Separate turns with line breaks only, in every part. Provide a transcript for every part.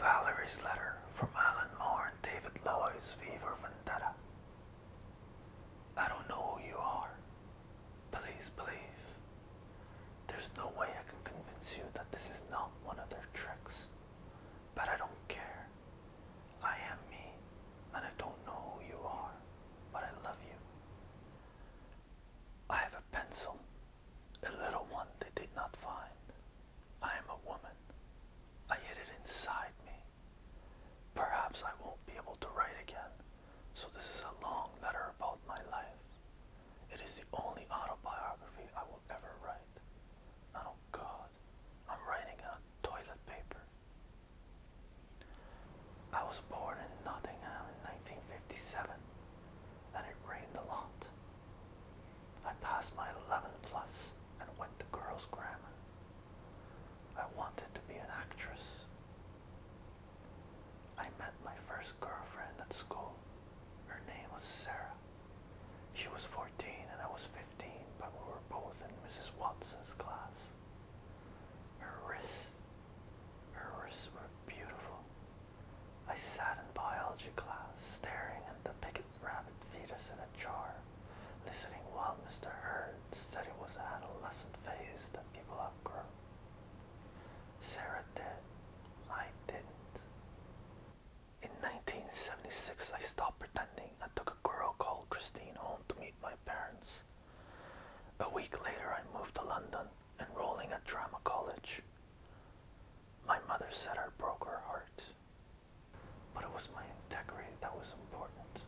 Valerie's letter from Alan Moore and David Lloyd's Fever Vendetta. I don't know who you are, Please believe. There's no way I can convince you that this is not one of their tricks. But I don't care. I am me, and I don't know who you are, but I love you. I have a pencil, a little one they did not find. I am a woman. I hid it inside me. Perhaps I won't be able to write again, so this is a long letter about my life. It is the only autobiography I will ever write. oh God, I'm writing on toilet paper. I was born in Nottingham in 1957, and it rained a lot. I passed my 11 plus and went to girls' grammar. I wanted to be an actress, I met my first girlfriend at school. Her name was Sarah. She was 14 and I was 15, but we were both in Mrs. Watson's class. Her wrists, her wrists were beautiful. I sat in biology class, staring at the picket rabbit fetus in a jar, listening while Mr. Hurd said it was an adolescent phase that people outgrow. Sarah did. I didn't. In 1976, I stopped pretending I took a girl called Christine home to meet my parents. A week later, I moved to London, enrolling at drama college. My mother said I broke her heart. But it was my integrity that was important.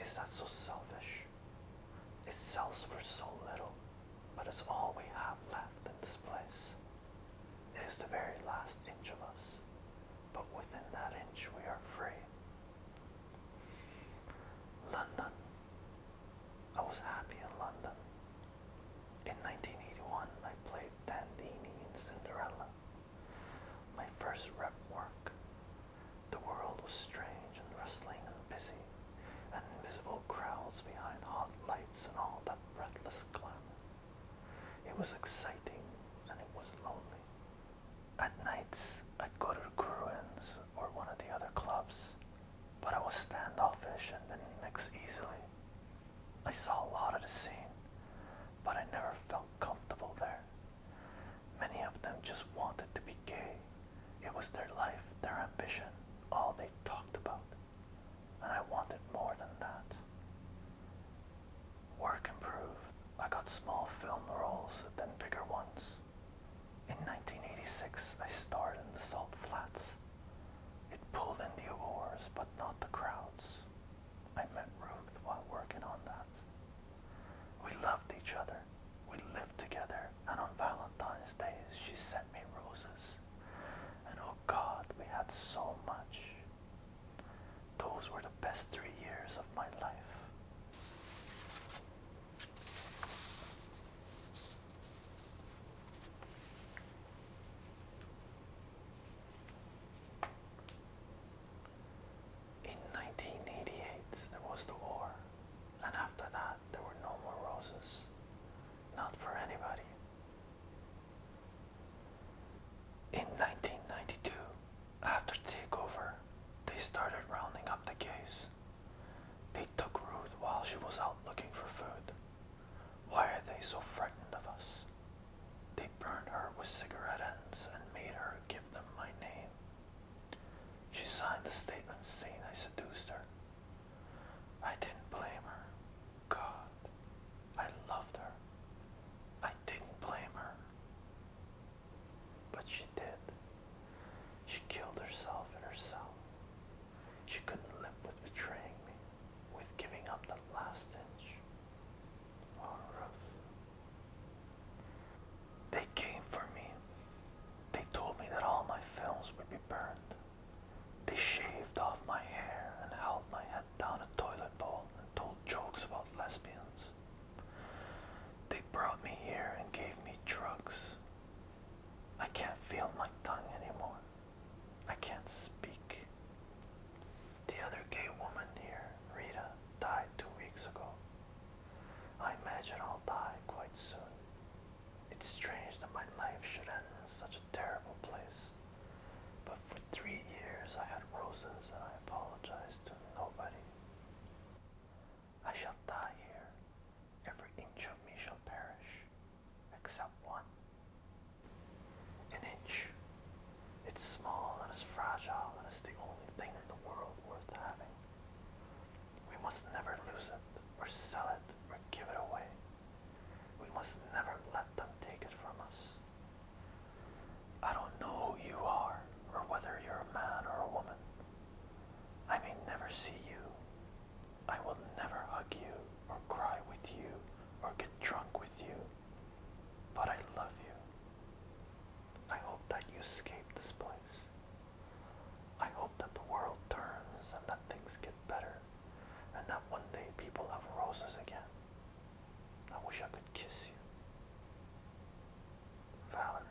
Is that so selfish? It sells for so little, but it's all we have left in this place. It is the very last inch of us, but within that inch we are free. London. I was happy in London. In 1981, I played Dandini in Cinderella, my first rep work, the world was strange and rustling and busy, and invisible crowds behind hot lights and all that breathless glamour. It was exciting and it was lonely. At nights, I'd go to Gruin's or one of the other clubs, but I was standoffish and didn't mix easily. I saw a lot of the scene, but I never felt comfortable there. Many of them just wanted to be gay. It was their life, their ambition, all they talked about. And I wanted more than that. Work improved. I got small film roles, then bigger ones. In 1986, I starred in the Salt Flats. It pulled in the oars, but not the crowds. I met Ruth while working on that. We loved each other, we lived together, and on Valentine's Day, she sent me roses. And oh God, we had so much. Those were the best three years of my life. In 1988, there was the war, and after that, there were no more roses. Not for anybody. In 1992, after takeover, they started rounding up the case. They took Ruth while she was out looking for food. Why are they so frightened of us? They burned her with cigarette ends and made her give them my name. She signed the statement saying I seduced her. I didn't blame her. God, I loved her. I didn't blame her. But she did. She killed herself in her cell. She couldn't live with betraying me, with giving up the last inch. Oh, Ruth, they came for me. They told me that all my films would be burned. They shaved off my hair and held my head down a toilet bowl and told jokes about lesbians. They brought me here and gave me drugs. I can't feel my tongue anymore. I can't speak. The other gay woman here, Rita, died two weeks ago. I imagine I'll die quite soon. It's strange that my life should end in such a terrible place. But for three years I had roses and I apologized to nobody. I shall die here. Every inch of me shall perish, except one. An inch. It's small and it's fragile and it's the only thing in the world worth having. We must never lose it, or sell it, or give it away. We must never let them take it from us. I don't know who you are, or whether you're a man or a woman. I may never see you. I will never hug you, or cry with you, or get drunk with you. But I love you. I hope that you escape this place. I hope that the world turns and that things get better and that one day people have roses again. I wish I could kiss you. Valerie.